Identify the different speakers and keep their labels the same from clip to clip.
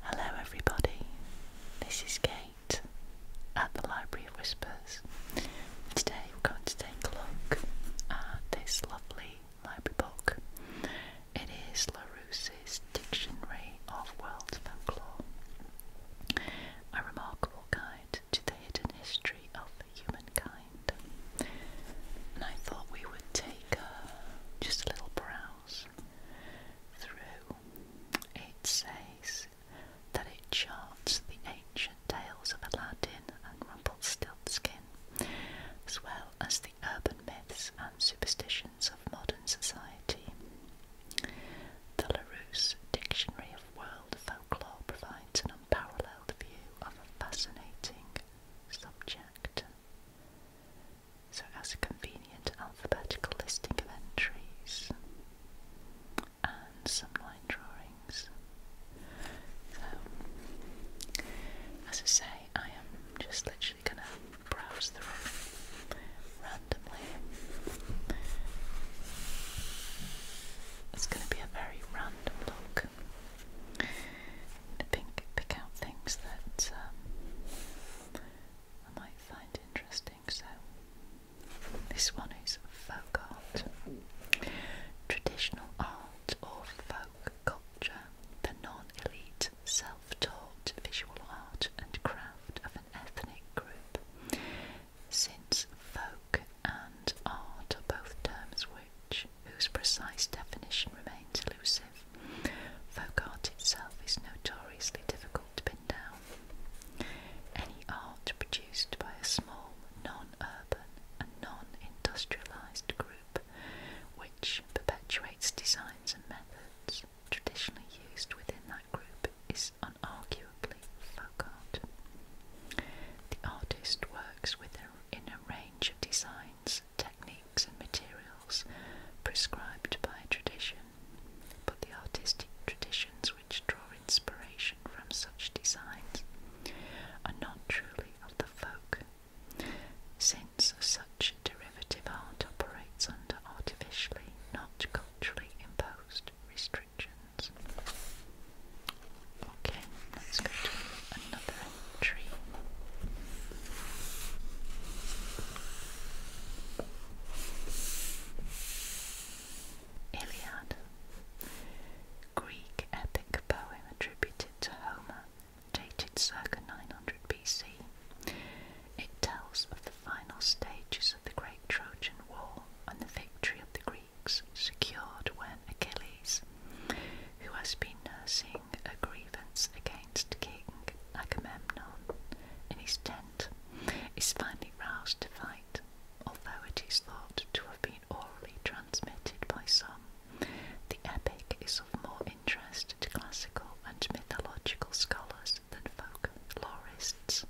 Speaker 1: Hello, everybody. This is Kate at the Library of Whispers. Today, we're going to take a look at this lovely library book. It is LaRousse's Dictionary of World Folklore, a remarkable guide to the hidden history of humankind. I thought we would take uh, just little browse through. It says that it charts the ancient tales of Aladdin and Rumpelstiltskin, as well as the urban myths and superstitions of modern society. The LaRousse Dictionary of World Folklore provides an unparalleled view of a fascinating subject. So as a convenient alphabetical listing of entries and some line drawings. as I say, I am just literally going to browse through randomly. It's going to be a very random look to pick, pick out things that um, I might find interesting. So, this one is folk art, traditional art or folk culture, the non elite, self taught visual art and craft of an ethnic group. Since folk and art are both terms which whose precise definition remains elusive, folk art itself is notoriously difficult to pin down. Any art produced by a small, non urban, and non industrialized group which perpetuates designs and methods traditionally used within that group is unarguably folk art. The artist works within a range of designs techniques and materials prescribed by tradition, but the artistic traditions which draw inspiration from such designs are not truly of the folk, since such derivative art operates under artificially, not culturally imposed restrictions. Okay, let's go to another tree. Iliad. Greek epic poem attributed to Homer, dated circa 900 BC. It tells of the final stages of the Great Trojan War and the victory of the Greeks secured when Achilles, who has been nursing a grievance against King Agamemnon in his tent, is finally roused to fight, although it is thought to have been orally transmitted by some. The epic is of more interest to classical and mythological scholars than folklorists.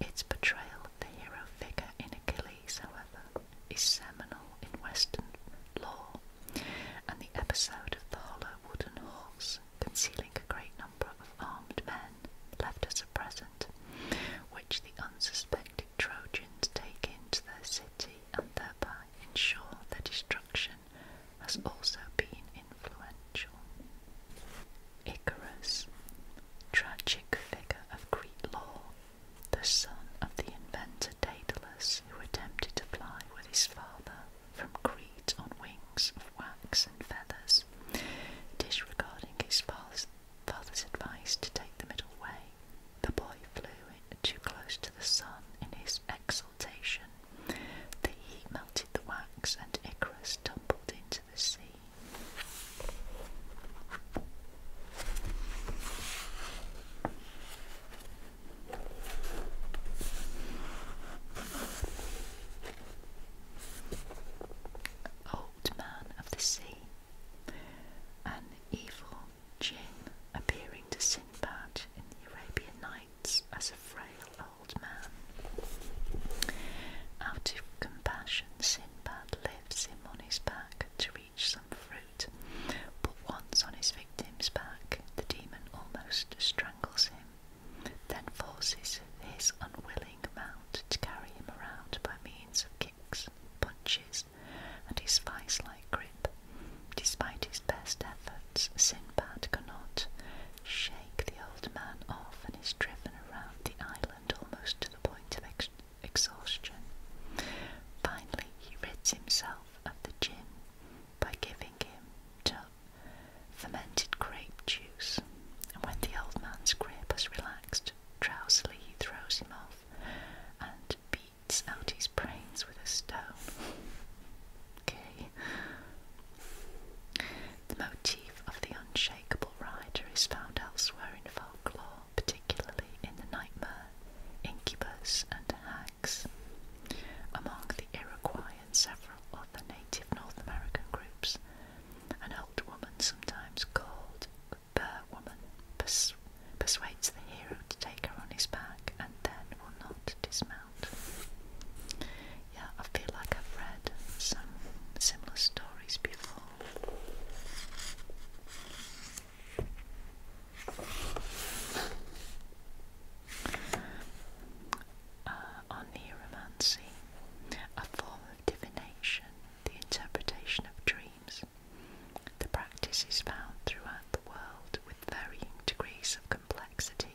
Speaker 1: Its portrayal of the hero figure in Achilles however, is seminal in Western law, and the episode of the hollow wooden horse concealing a great number of armed men left as a present, which the unsuspecting Trojans take into their city and thereby ensure their destruction, has also been influential. Icarus, tragic figure of Greek law the son of the inventor Daedalus, who attempted to fly with his father from Crete on wings of wax and feathers, disregarding his father's, advice to take the middle way. The boy flew too close to the sun in his exultation. The heat melted the wax, and Icarus tumbled into the sea. Old Man of the Sea. An evil jinn appearing to Sinbad in the Arabian Nights as a frail old man. Out of compassion, Sinbad lifts him on his back to reach some fruit, but once on his victim's back, the demon almost strangles him, then forces his unwilling mount to carry him around by means of kicks, punches, and his vice like grip. Despite his best efforts, Sinbad cannot shake the old man off and is driven around the island almost to the point of exhaustion exhaustion. Finally, he rids himself of the gin by giving him fermented grape juice, and when the old man's grip has relaxed, drowsily he throws him off and beats out his brains with a stone. The motif of the unshakable rider is found elsewhere in folklore particularly in the Nightmare, Incubus, and Hags. Among the Iroquois and several other native North American groups, an old woman, sometimes called Bear Woman, persuades the hero to take her on his back and then will not dismount. Yeah, I feel like I've read some similar stories before. Uh, a form of divination, the interpretation of dreams. The practice is found throughout the world with varying degrees of complexity,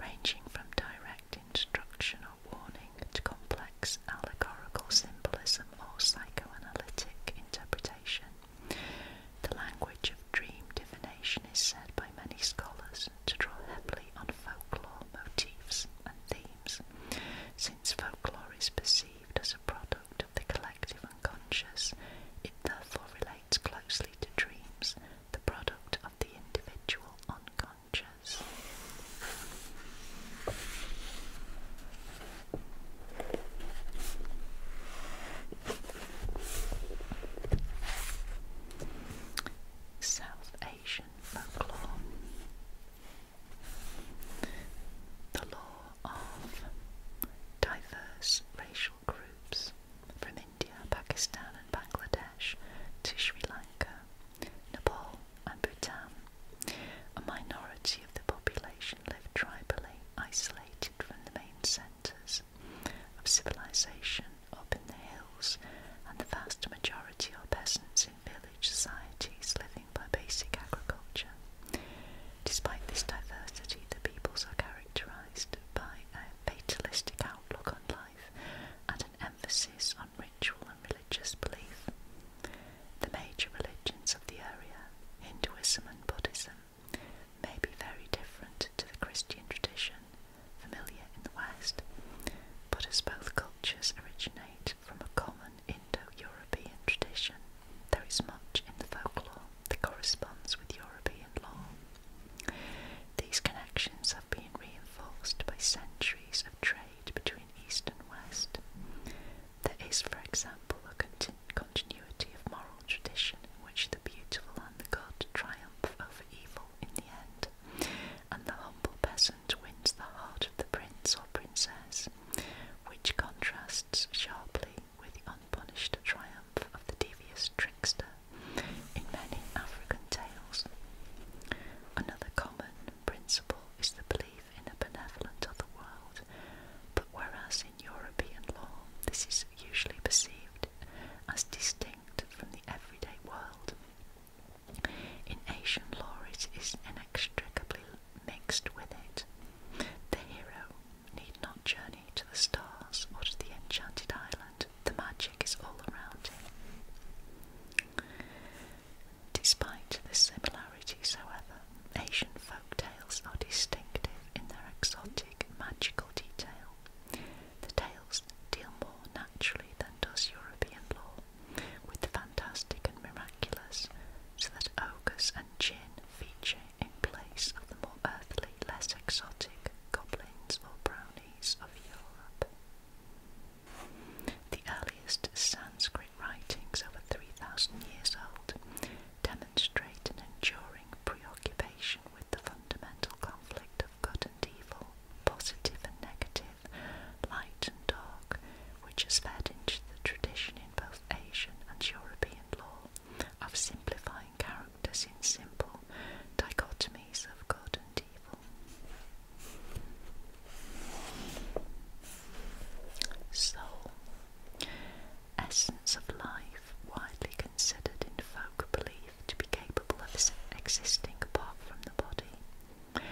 Speaker 1: ranging from direct instruction or warning to complex allegorical symbolism or psychoanalytic interpretation. The language of dream divination is said by many scholars to draw heavily on folklore motifs and themes, since folklore is perceived as a product of the collective unconscious, it therefore relates closely to dreams, the product of the individual unconscious. South Asian folklore. The law of diverse racial groups from India, Pakistan, and Bangladesh to Sri Lanka, Nepal, and Bhutan a minority of the population live tribally, isolated from the main centres of civilisation, up in the hills, and the vast majority are peasants in village societies living by basic agriculture. Despite this diversity, the peoples are characterized by a fatalistic outlook on life and an emphasis on ritual and religious belief. The major religions of the area, Hinduism and Buddhism, may be very different to the Christian tradition familiar in the West, but as both cultures originate from a common Indo European tradition, there is much in the folklore that corresponds with European law. These connections have been reinforced by centuries of trade between East and West. There is, for example, a continuity of moral tradition in which the beautiful and the good triumph over evil in the end, and the humble peasant wins the heart of the prince or princess, which contrasts sharply with the unpunished triumph of the devious trickster in many African tales. Another common principle is the in a benevolent otherworld, but whereas in European law this is usually perceived as distinct from the everyday world, in Asian law it is inextricably mixed with it. The hero need not journey to the stars or to the enchanted island, the magic is all around him. Despite the similarities, however, Asian folk tales are distinctive in their exotic, magical detail. The tales deal more naturally than does European lore with the fantastic and miraculous, so that ogres and jinn feature in place of the more earthly, less exotic goblins or brownies of Europe. The early earliest Sanskrit writings over 3,000 years old demonstrate an enduring preoccupation with the fundamental conflict of good and evil, positive and negative, light and dark, which has fed into the tradition in both Asian and European law of simplifying characters in simple dichotomies of good and evil. Soul. Essence of life, widely considered in folk belief to be capable of existing apart from the body.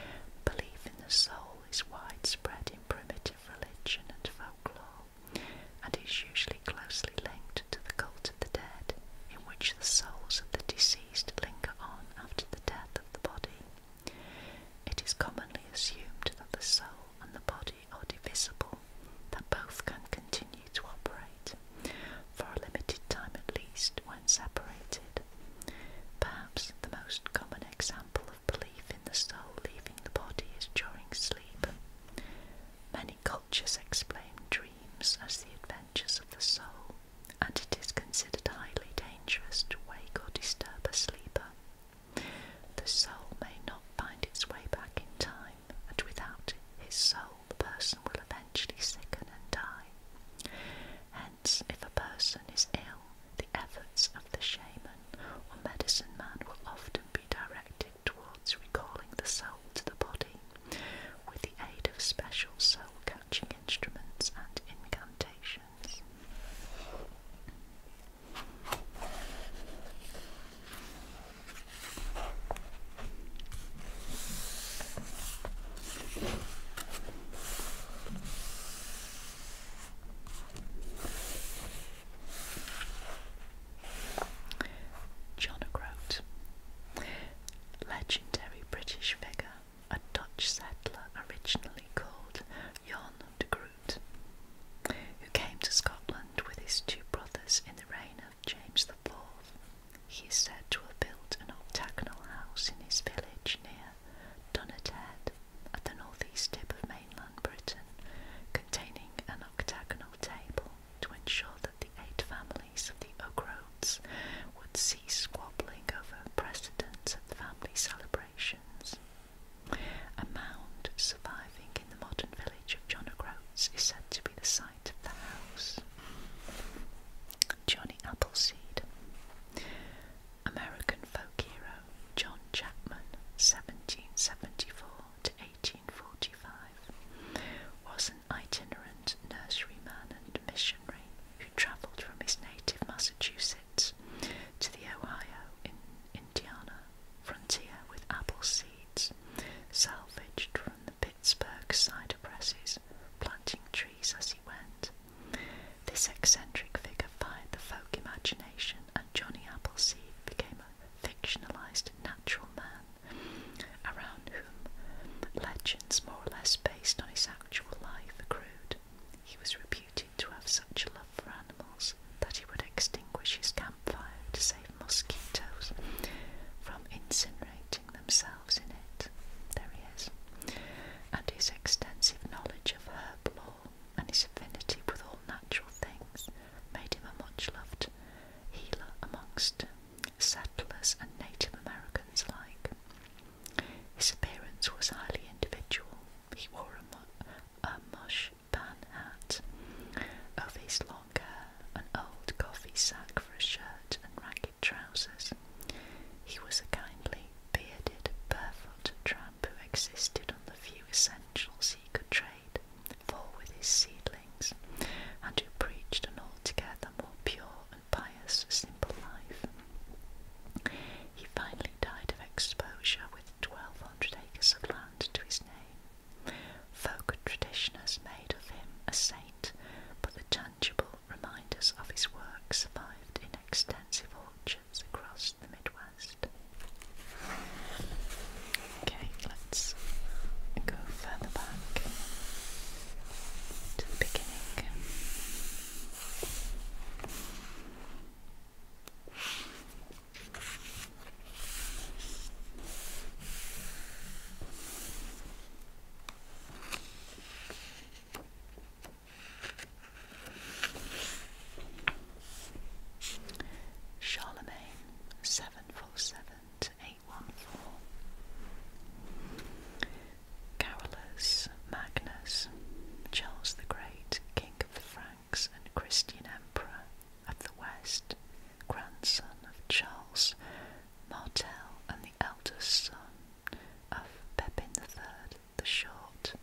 Speaker 1: Belief in the soul is widespread in primitive religion and folklore, and is usually closely linked to the cult of the dead, in which the souls of the deceased linger on after the death of the body. It is commonly assumed that the soul and the body are divisible, that both can continue to operate for a limited time at least when separated. Perhaps the most common example of belief in the soul leaving the body is during sleep. Many cultures explain dreams as the adventures of the soul, and it is considered highly dangerous to wake or disturb a sleeper. The soul may not find its way back in time, and without his soul, the person will eventually sicken and die. Hence, if a person is ill, the efforts of the shaman or medicine man will often be directed towards recalling the soul to the body with the aid of special soul catching instruments and incantations hands. John O'Groat, legendary British figure, a Dutch settler originally called Jan de Groot who came to Scotland with his two brothers in the reign of James IV. He is said to have built an octagonal house in his village near Dunnet Head, at the northeast tip of mainland Britain, containing an octagonal table to ensure that the eight families of the Ogroads would cease squabbling over precedence at family celebrations. A mound surviving in the modern village of John O'Groats is said to be the site of the house. Johnny Appleseed. American folk hero John Chapman, 1774 to 1845, was an itinerant nurseryman and missionary travelled from his native Massachusetts to the Ohio in Indiana frontier with apple seeds salvaged from the Pittsburgh cider presses, planting trees as he went. This eccentric figure fired the folk imagination, and Johnny Appleseed became a fictionalized natural man around whom legends more or less based on his actual life accrued. He was reputed to have such a love for animals that he would extinguish his campfire to save mosquitoes from incinerating themselves in it. There he is. And his extensive knowledge of herb law and his affinity with all natural things made him a much loved healer amongst settlers and Native Americans alike. His appearance was highly individual, he wore a, a mush pan hat of his long hair, an old coffee sack for a shirt, and ragged trousers. He was a kindly, bearded, barefoot tramp who existed on the few essentials he could trade for with his seedlings, and who preached an altogether more pure and pious, simple life. He finally died of exposure with 1,200 acres of land to his name. Folk and has made of him a saint, but the tangible reminders of his work survived in extensive orchards across the Midwest. Okay, let's go further back to the beginning. Charlemagne seven four seven eight one four. Carolus, Magnus, Charles the Great, King of the Franks and Christian Emperor of the West, grandson of Charles Martel and the eldest son of Pepin III the Short.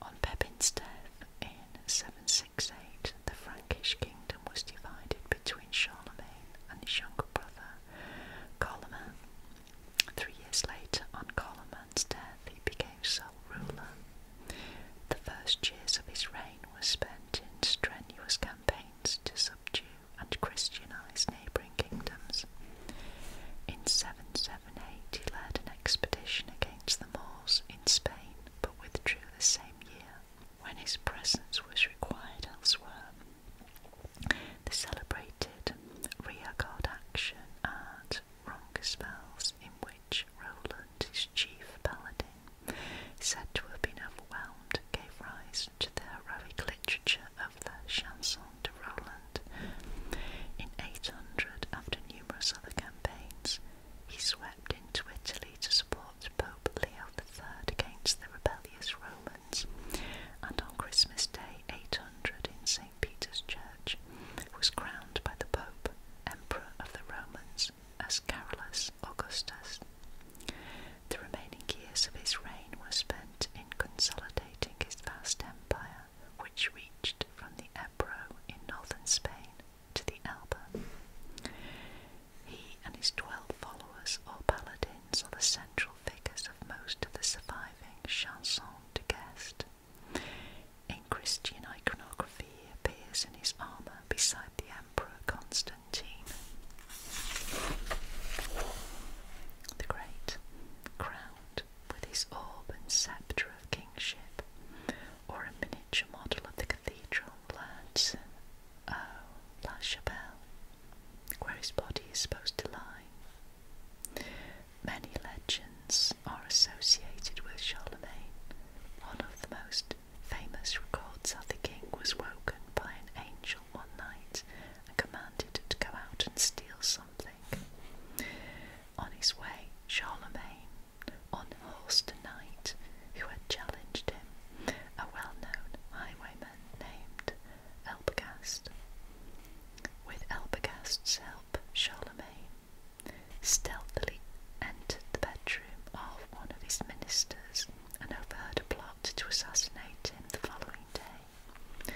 Speaker 1: On Pepin's death in 768, the Frankish kingdom was divided between Charlemagne and his younger brother Carloman. Three years later, on Carloman's death, he became sole ruler. The first years of his reign were spent in strenuous campaigns to subdue and Christianize neighbouring kingdoms. In 778, he led an expedition against the Moors in Spain, but withdrew the same year when his presence was required elsewhere. The celebrated rear action at Roncaspels, in which Roland, his chief paladin, said to have been overwhelmed, gave rise to the heroic literature of the Chanson de Roland. In 800, after numerous other campaigns, he swept into Italy to support Pope Leo III against the rebellious Romans, and on Christmas Day 800 in St. Peter's Church, was crowned by the Pope, Emperor of the Romans, as Carolus Augustus. The remaining years of his reign were spent in consolidating his vast empire, which reached from the Ebro in northern Spain to the Elbe. He and his twelve followers, or paladins, are the central figures of most of the surviving chansons de geste. In Christian iconography, he appears in his armour beside the Emperor Constantine. The Great, crowned with his orb and sceptre of kingship, or a miniature model of the cathedral at oh, La Chapelle, where his body is supposed to lie. Many legends are associated with Charlemagne. One of the most famous records that the king was woken by an angel one night and commanded to go out and steal something. On his way, Charlemagne unhorsed a knight who had challenged him, a well known highwayman named Elpagast. With Elpagast's help, Charlemagne stealthily entered the bedroom of one of his ministers and overheard a plot to assassinate him the following day,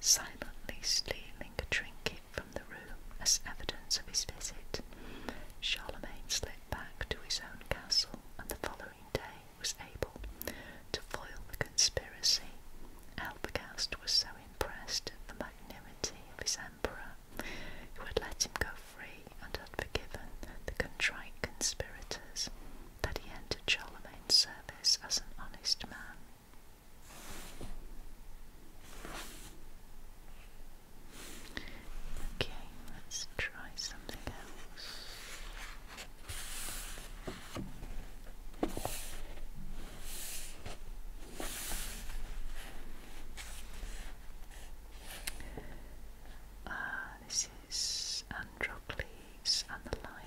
Speaker 1: silently stealing a trinket from the room as evidence of his visit. Charlemagne slipped back to his own castle and the following day was able to foil the conspiracy, Albagast was so impressed at the magnanimity of his emperor, who had let him go free and had forgiven the contrite conspirators, that he entered Charlemagne's service as an honest man. Okay, let's try something else. Ah, this is Androcles and the Lion,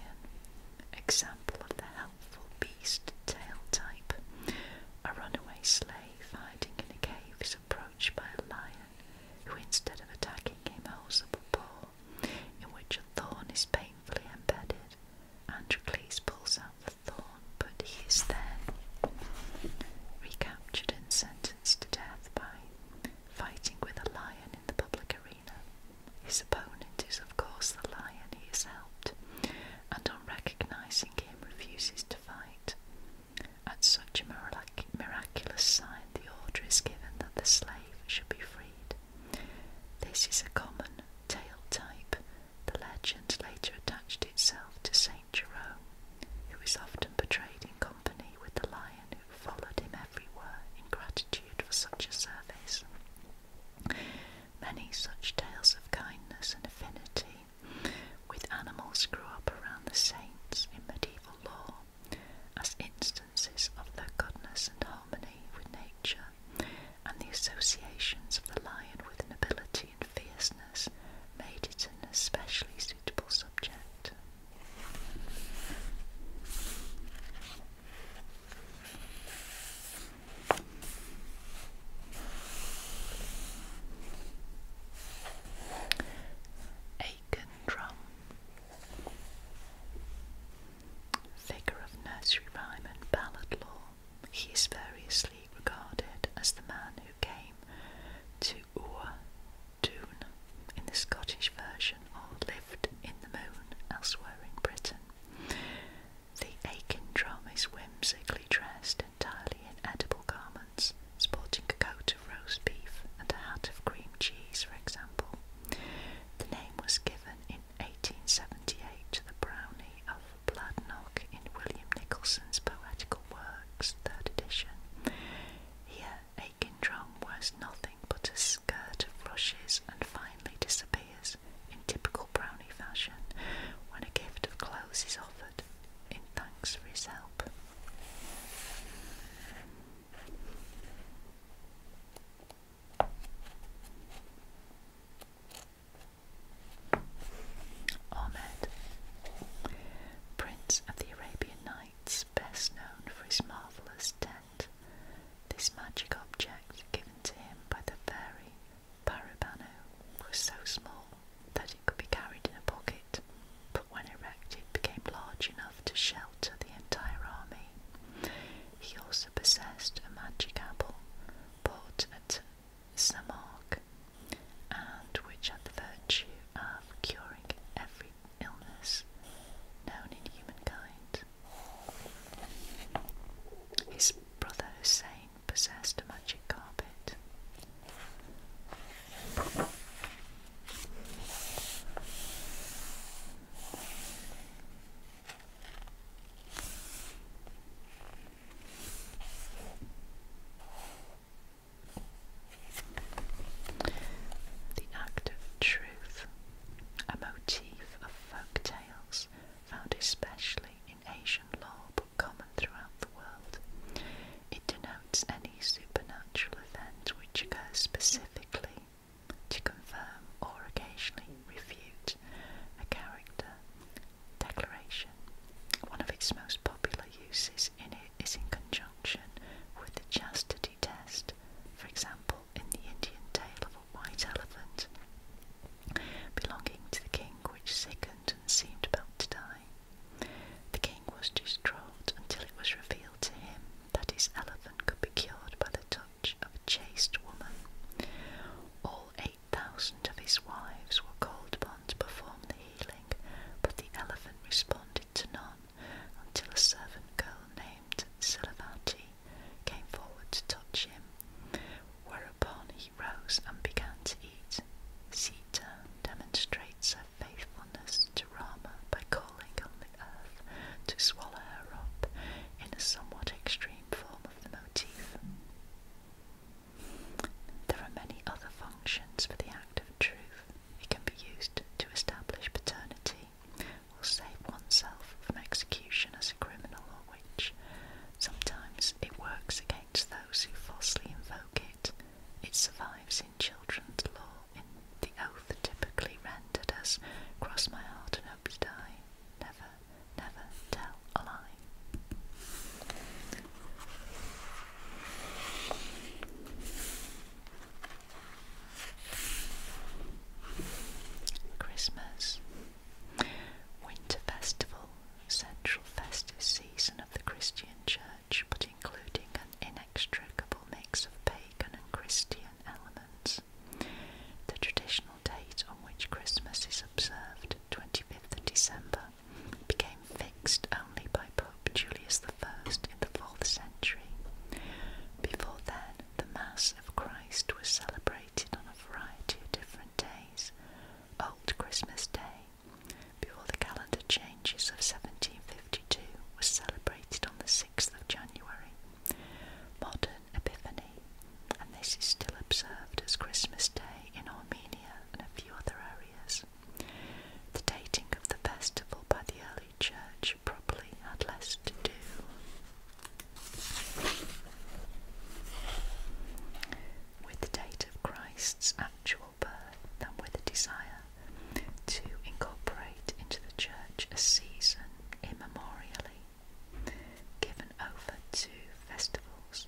Speaker 1: example of the helpful beast tail type. A runaway slave hiding in a cave is approached by a lion who, instead of attacking him, holds up a paw in which a thorn is painfully embedded. Androcles pulls out the thorn, but he is then recaptured and sentenced to death by fighting with a lion in the public arena. His opponent is, of course, the lion he has helped, and on recognizing him, refuses to fight. At such a miraculous sign, the order is given that the slave should be freed. This is a common tale type. The legend later attached itself to Saint Jerome, who is often portrayed in company with the lion who followed him everywhere in gratitude for such a service. Many such tales of kindness and affinity with animals grew up around the saints in medieval lore as instances of their goodness and harmony with nature and the associations of the lion with nobility and fierceness made it an especially suitable subject. Aiken drum. Figure of nursery rhyme and ballad lore, he is variously regarded as the man who came to Ua Doon in the Scottish version or lived in the moon elsewhere in Britain. The Aiken drum is whimsically dressed entirely in edible garments, sporting a coat of roast beef and a hat of cream cheese, for example. The name was given in 1878 the Brownie of Bladnock in William Nicholson's Poetical Works, 3rd edition. Here Aiken Drum wears nothing but a skirt of rushes and finally disappears in typical Brownie fashion when a gift of clothes is offered in thanks for his help. Ahmed, Prince of the Arabian Nights, best known for his marvellous tent, this magic object given to him by the fairy Parabano was so small that it could be carried in a pocket, but when erected became large enough to shelter the entire army. He also possessed a magic apple bought at Samark and which had the virtue of curing every illness known in humankind. His brother Hussein possessed a magic carpet. The act of truth, a motif of folk tales found especially in Asian lore but common throughout the world. It denotes any supernatural event which occurs specifically to confirm or occasionally refute a character declaration. One of its most popular uses in it is in conjunction with the chastity test, for example, in the Indian tale of a white elephant belonging to the king which sickened and seemed about to die. The king was distraught until it was revealed to him that his elephant could be cured by the of a chaste woman. All eight thousand of his wives were called upon to perform the healing, but the elephant responded to none until a servant girl named Silavati came forward to touch him, whereupon he rose and began to eat. Sita demonstrates her faithfulness to Rama by calling on the earth to swallow her up in a somewhat extreme form of the motif. There are many other functions for the act of truth. It can be used to establish paternity or save oneself from execution as a criminal or witch. Sometimes it works against those who falsely invoke it. It survives in children's law the oath typically rendered as cross my heart and hope to die, never, never tell a lie. Christmas Winter Festival, central festive season of the Christian Church, but including an inextricable mix of pagan and Christian elements. The traditional date on which Christmas is observed, 25th of December, became fixed only by Pope Julius I in the 4th century. Before then, the Mass of Christ was celebrated on a variety of different days. Old Christmas Day, before the calendar changes of 1752, was celebrated on the 6th 6th of January. Modern Epiphany, and this is still observed as Christmas Day in Armenia and a few other areas. The dating of the festival by the early church probably had less to do. With the date of Christ's actual birth than with a desire to incorporate into the church a season immemorially given over to festivals.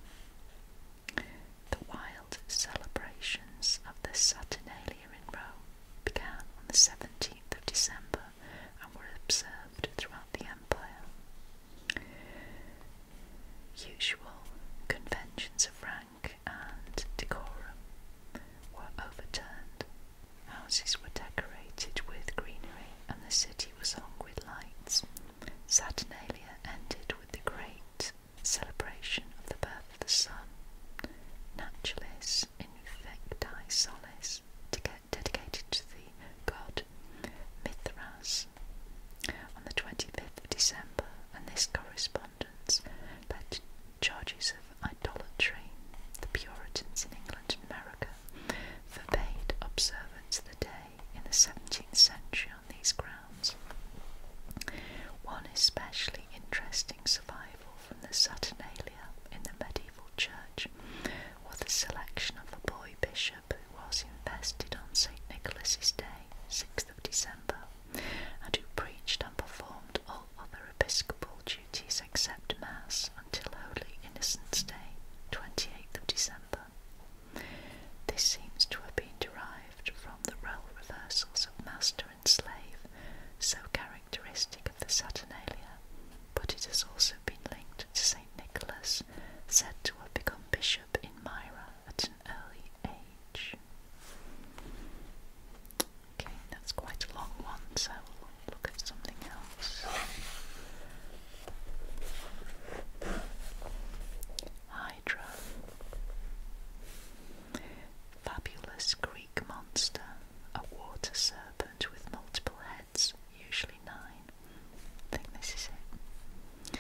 Speaker 1: The wild celebrations of the Saturnalia in Rome began on the 17th of December and were observed throughout the empire. Usual conventions of rank and decorum were overturned. Houses were decorated with greenery and the city was hung with lights. Saturnalia ended with the great celebration of the birth of the sun, Naturalis Infecti Solis, dedicated to the god Mithras on the 25th of December, and this correspondence that charges of idolatry. The Puritans in England and America forbade observance of the day in the 17th century on these grounds. One especially interesting survival from the Saturnalia in the medieval church was the selection of a boy bishop who was invested on St. Nicholas's Day, 6th of December, and who preached and performed all other episcopal duties treaties except Mass until Holy Innocents' Day, 28th of December. This seems to have been derived from the role reversals of master and slave, so characteristic of the Saturnalia, but it has also been linked to St. Nicholas, said to have become bishop in Myra at an early age. Okay, that's quite a long one, so we'll look at something else. Hydra. Fabulous Greek monster, a water serpent with multiple heads, usually nine. I think this is it.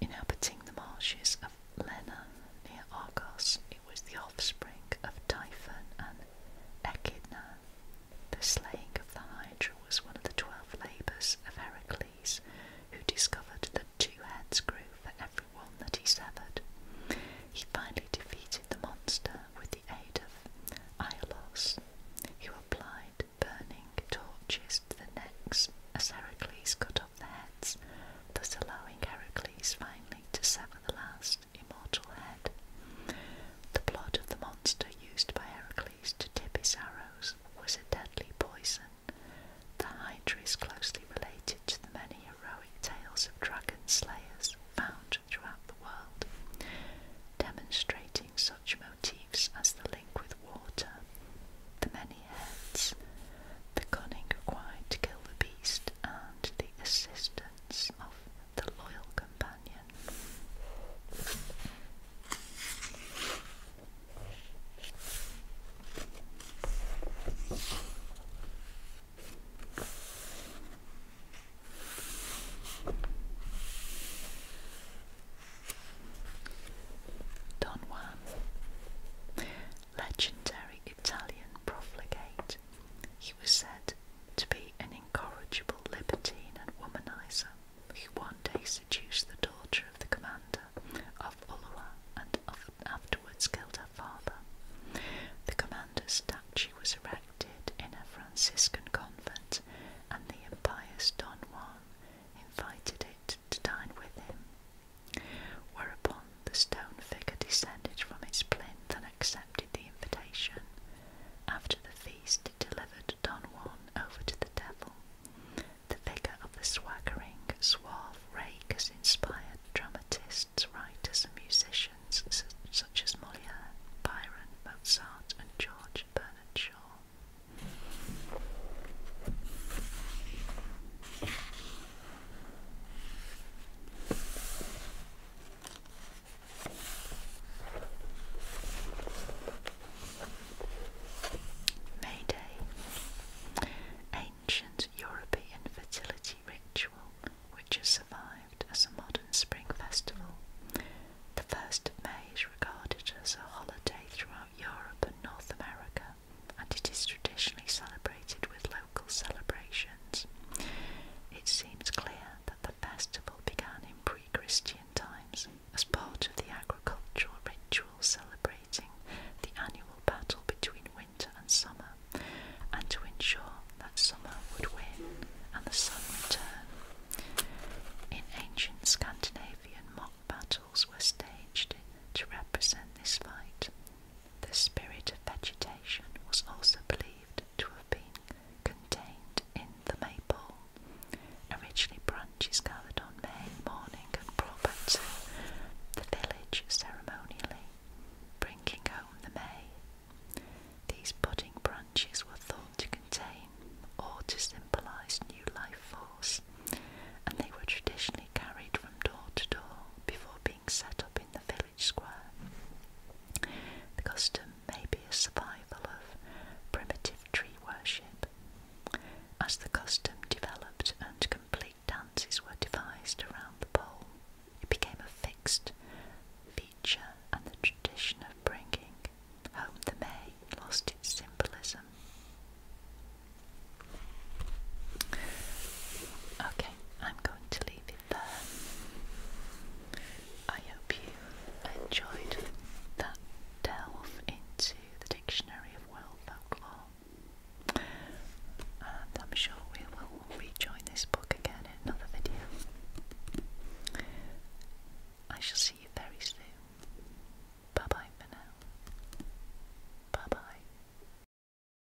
Speaker 1: Inhabiting the marshes of Lena near Argos, it was the offspring of Typhon and Echidna. The slaying of the Hydra was one of the twelve labours of Heracles, who discovered that two heads grew for every one that he severed. He finally defeated the monster with the aid of Aiolos, who applied burning torches to the necks as Heracles cut off the heads, thus allowing Heracles finally to sever the last immortal head, the blood of the monster used by Heracles to tip his arrows was a deadly poison. The Hydra is closely related to the many heroic tales of dragon slayers found throughout the world, demonstrating such motifs as the link with water, the many heads, the cunning required to kill the beast, and the assistance of the loyal companion. Don Juan, legendary Italian profligate he was said to be an incorrigible libertine and womanizer who one day seduced the daughter of the commander of Ulua and afterwards killed her father. The commander's statue was erected in a Franciscan convent, and the impious Don Juan invited it to dine with him. Whereupon the stone figure descended from its plinth and accepted the invitation. After the feast, it delivered Don Juan over to the devil. The figure of the swaggering, suave rake has inspired dramatists, writers, and musicians such as Molière, Byron, Mozart, and George Bernard Shaw. May Day. Ancient European fertility ritual which has survived as a modern spring festival. The 1st of May is regarded as a holiday throughout Europe and North America and it is traditionally celebrated with local celebrations it seems clear that the festival began in pre Christian times as part of the agricultural ritual celebrating the annual battle between winter and summer, and to ensure that summer would win and the sun return. In ancient Scandinavian mock battles were staged to represent this fight, the spirit of vegetation was also believed to have been contained in the maple. Originally, branches gathered on May morning and brought back to the village ceremonially, bringing home the May. These budding branches were thought to contain or to symbolise new life force, and they were traditionally carried from door to door before being set up in the village village square. The custom may be a survival of primitive tree worship. As the custom developed and complete dances were devised around the pole, it became a fixed feature and the tradition of bringing home the May lost its symbolism. Okay, I'm going to leave I hope you enjoyed that delve into the Dictionary of World Folklore, and I'm sure we will rejoin this book again in another video. I shall see you very soon. Bye bye for now. Bye bye.